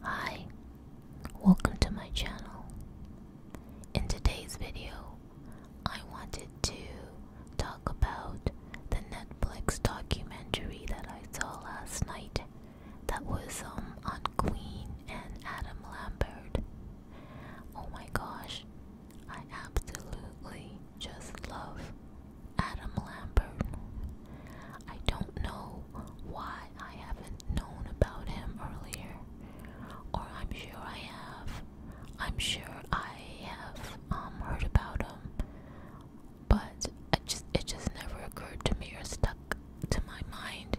Hi, welcome to my channel. In today's video, I wanted to talk about the Netflix documentary that I saw last night that was um, on Queen and Adam Lambert. Oh my gosh, I absolutely just love Adam Lambert. I don't know why I haven't known about him earlier, or I'm sure I have. I'm sure I have um, heard about him, but I just it just never occurred to me or stuck to my mind.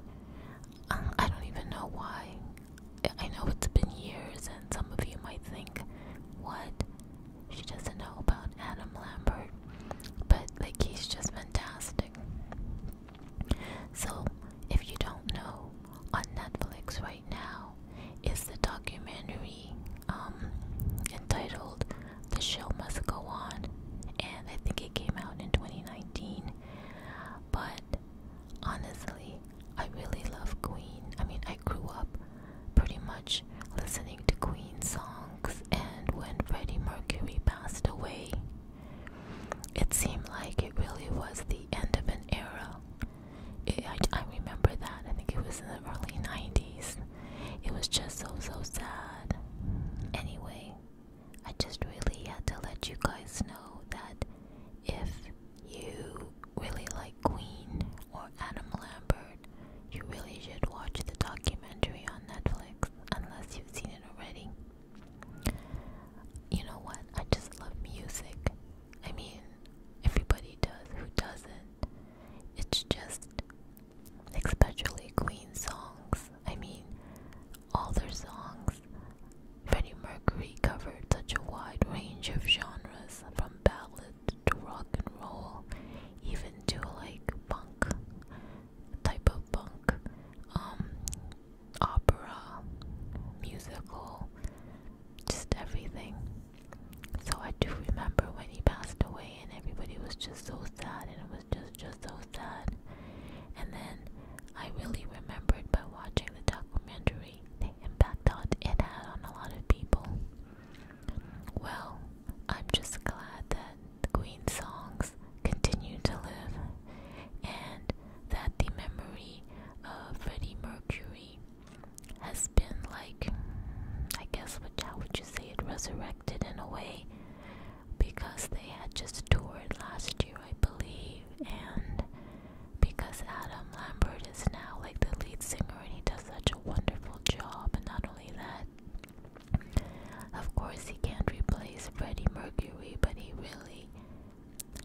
Um, I don't even know why. I know it's been years, and some of you might think, "What? She doesn't know about Adam Lambert, but like he's just fantastic. So, if you don't know, on Netflix right now is the documentary um, entitled The Show Must Go On, and I think it came out in 2019. But honestly, I really love Queen. I mean, I grew up pretty much listening to Queen songs. And when Freddie Mercury passed away, it seemed like it really was the end of an era. I remember that. I think it was in the early 90s. It was just so, so sad. Anyway, I just really had to let you guys know that if you really like Queen or Adam Lambert, you really should watch the documentary on Netflix, unless you've seen it already. You know what? I just love music. I mean, everybody does. Who doesn't? It's just, especially Queen songs. I mean, all their songs. Freddie Mercury covered such a wide range of genres, from ballads to rock and roll, even to like punk type of punk, um, opera, musical, just everything. So I do remember when he passed away, and everybody was just so sad, and it was just just so sad. And then I really remembered by watching the documentary the impact that it had on a lot of people. Well, I'm just glad that the Queen's songs continue to live and that the memory of Freddie Mercury has been like, I guess, which, how would you say it, resurrected in a way because they had just toured last year, I believe, and because Adam Lambert is now like the lead singer and he does such a wonderful job, and not only that, of course, he can't replace Freddie Mercury, but he really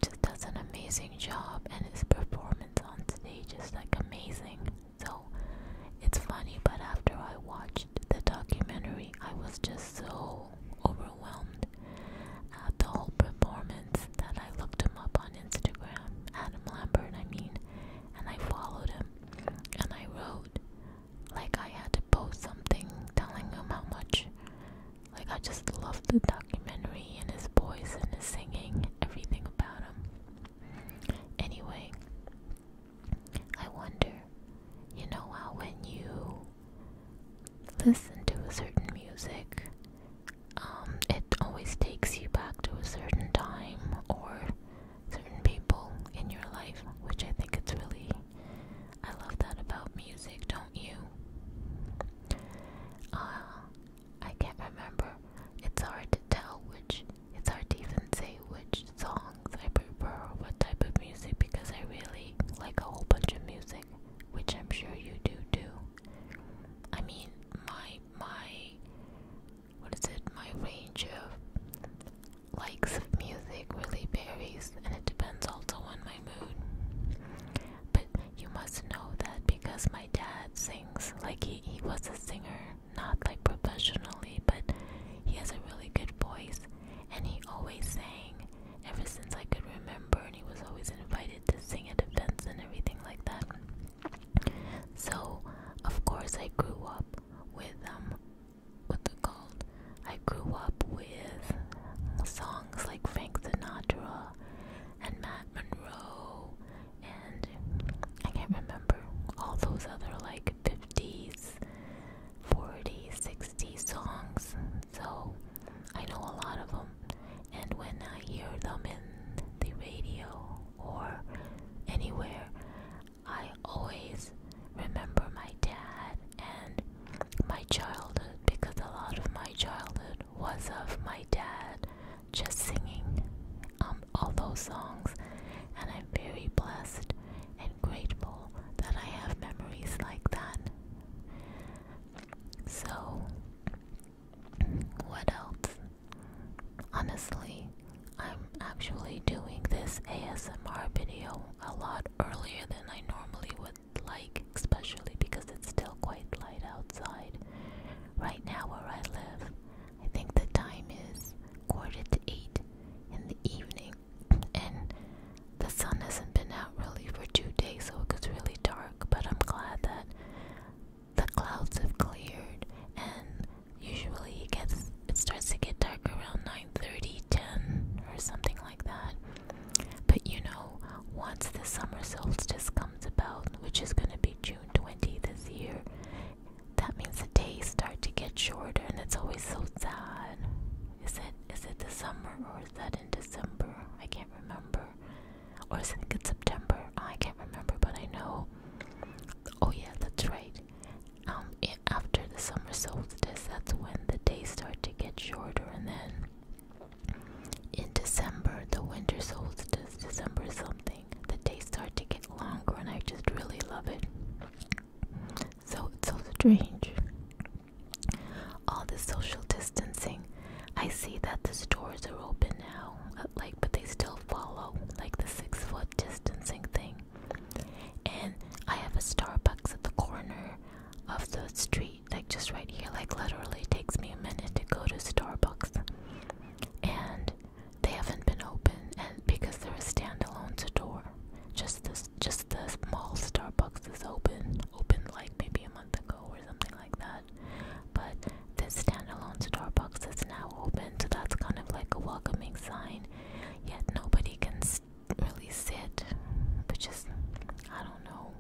just does an amazing job, and his performance on today just like amazing. So it's funny, but after I watched the documentary, I was just so overwhelmed at the whole performance that I looked him up on Instagram, Adam Lambert, I mean, and I followed him and I wrote, like I had to post something telling him how much like I just loved the documentary and his voice and his singing, everything about him. Anyway, I wonder, you know how when you listen to a certain music, um, it always takes you back to a certain time or certain people in your life, which I think it's really, I love that about music, don't you? Uh, I can't remember. It's hard to tell which, it's hard to even say which songs I prefer or what type of music because I really like a whole bunch of music, which I'm sure you do too. I mean, my, my what is it? My range of likes of music really varies, and it depends also on my mood. But you must know that because my dad sings, like he, he was a singer, not like professionally, but he has a really good voice, and he always sang ever since I could remember, and he was always invited to sing at events and everything like that. So, of course, I grew up with them. Um, what they called. I grew up with songs like Frank Sinatra and Matt Monroe, and I can't remember all those other like 50s, 40s, 60s songs. So I know a lot of them, and when I hear them in the radio or anywhere, I always remember my dad and my childhood because a lot of my childhood was of my dad just singing um, all those songs, and I'm very blessed and grateful that I have memories like that. So, what else? Honestly, I'm actually doing this ASMR video a lot earlier than I normally would like, especially because it's still quite light outside. Right now, where I live, I think the time is quarter to eight in the evening, and the sun hasn't been out really for two days, so it gets really dark. But I'm glad that the clouds have cleared and usually it gets it starts to get dark around 9:30, 10 or something like that. But you know, once the summer solstice comes about, which is going to be June 20 this year, that means the days start to get shorter and it's always so sad. Is it is it the summer or is that in December? I can't remember. Or is it in September? I can't remember, but I know. Oh yeah, that's right um after the summer solstice that's when the days start to get shorter and then in December, the winter solstice, December something, the days start to get longer, and I just really love it. So it's so strange. All the social distancing. I see that the stores are open now, uh, like, but they still follow like the six foot distancing thing. And I have a Starbucks at the corner of the street, like just right here. Like literally takes me a minute to go to Starbucks. And they haven't been open and because they're a standalone store. Just this just the mall Starbucks is open. open like maybe a month ago or something like that. But this standalone Starbucks is now open, so that's kind of like a welcoming sign yet nobody can really sit, which is, I don't know.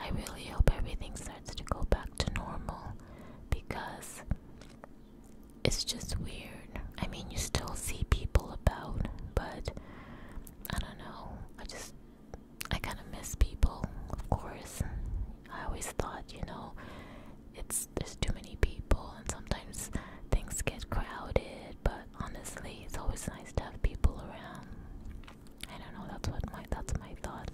I really hope everything starts to go back to normal because it's just weird. I mean, you still see people about, but I don't know. I just, I kind of miss people, of course. I always thought, you know, it's there's too many people and sometimes things get crowded but honestly it's always nice to have people around i don't know that's what my that's my thought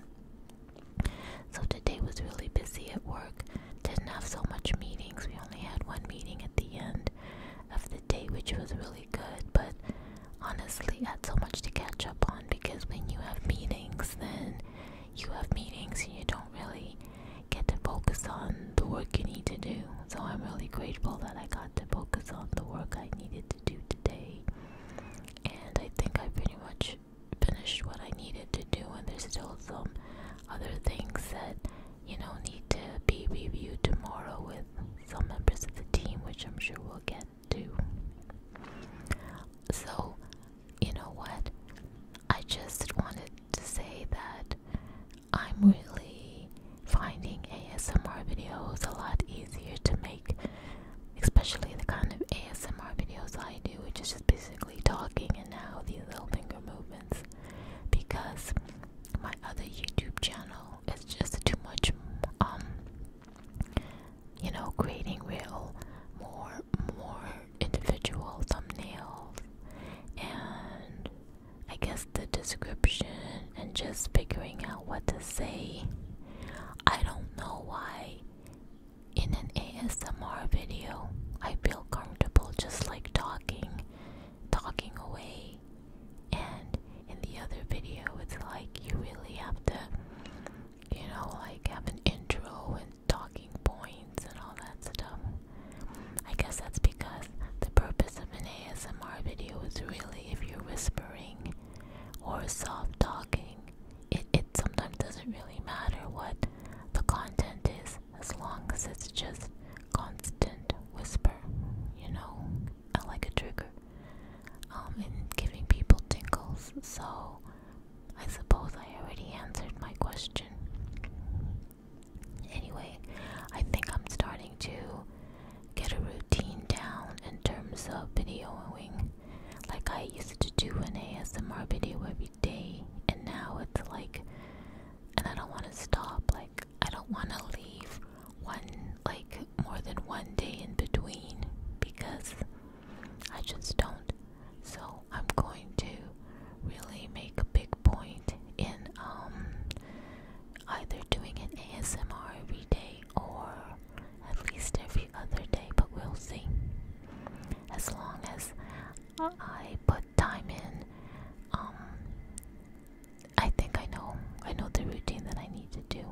so today was really busy at work didn't have so much meetings we only had one meeting at the end of the day which was really good but honestly had so much to catch up on because when you have meetings then you have meetings and you don't really get to focus on the work you need to do. So I'm really grateful that I got to focus on the work I needed to do today. And I think I pretty much finished what I needed to do, and there's still some other things that you know need to be reviewed tomorrow with some members of the team, which I'm sure we'll get to. So, you know what? I just wanted to say that I'm really finding ASMR videos a lot easier to make, especially the kind of ASMR videos I do, which is just basically talking and now these little finger movements, because my other YouTube channel is just too much, um, you know, creating real, more, more individual thumbnails and I guess the description and just figuring out what to say. I don't know why in an ASMR video I feel comfortable just like talking, talking away, and in the other video it's like you really have to, you know, like have an intro and talking points and all that stuff. I guess that's because the purpose of an ASMR video is really if you're whispering or soft talking, it, it sometimes doesn't really matter what the content is as long as it's just constant whisper, you know, I like a trigger, um, and giving people tingles. So I suppose I already answered my question. Anyway, I think I'm starting to get a routine down in terms of videoing. Like I used to do an ASMR video every day, and now it's like, and I don't want to stop. Like I don't want to leave one, like more than one day in between because I just don't. So I'm going to really make a big point in um, either doing an ASMR every day or at least every other day, but we'll see. As long as I put time in, um, I think I know I know the routine that I need to do.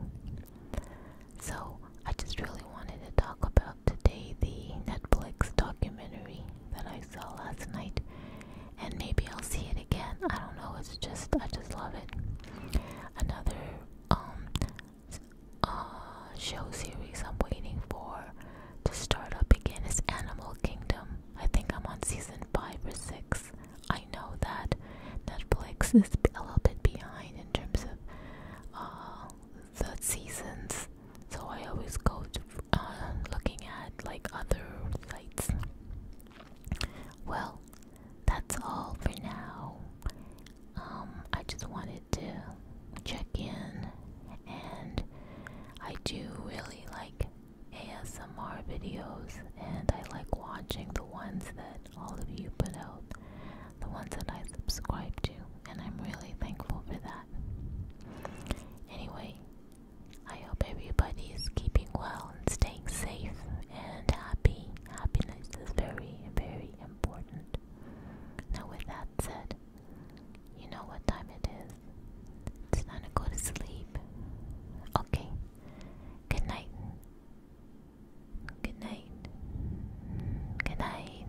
So I just really wanted to talk about today the Netflix documentary that I saw last night, and maybe I'll see it again. I don't know. It's just I just love it. Another um, uh, show series I'm waiting for to start up again is Animal Kingdom. I think I'm on season five or six. I know that Netflix is a little bit behind in terms of uh, the seasons so I always go to uh, looking at like other sites. Well, that's all for now. Um, I just wanted to check in, and I do really like ASMR videos, and I like watching the ones that all of you put out, the ones that I subscribe to, and I'm really thankful for that. Anyway, I hope everybody is keeping well and staying safe and happy. Happiness is very, very important. Now, with that said, you know what time it is. It's time to go to sleep. Okay. Good night. Good night. Good night.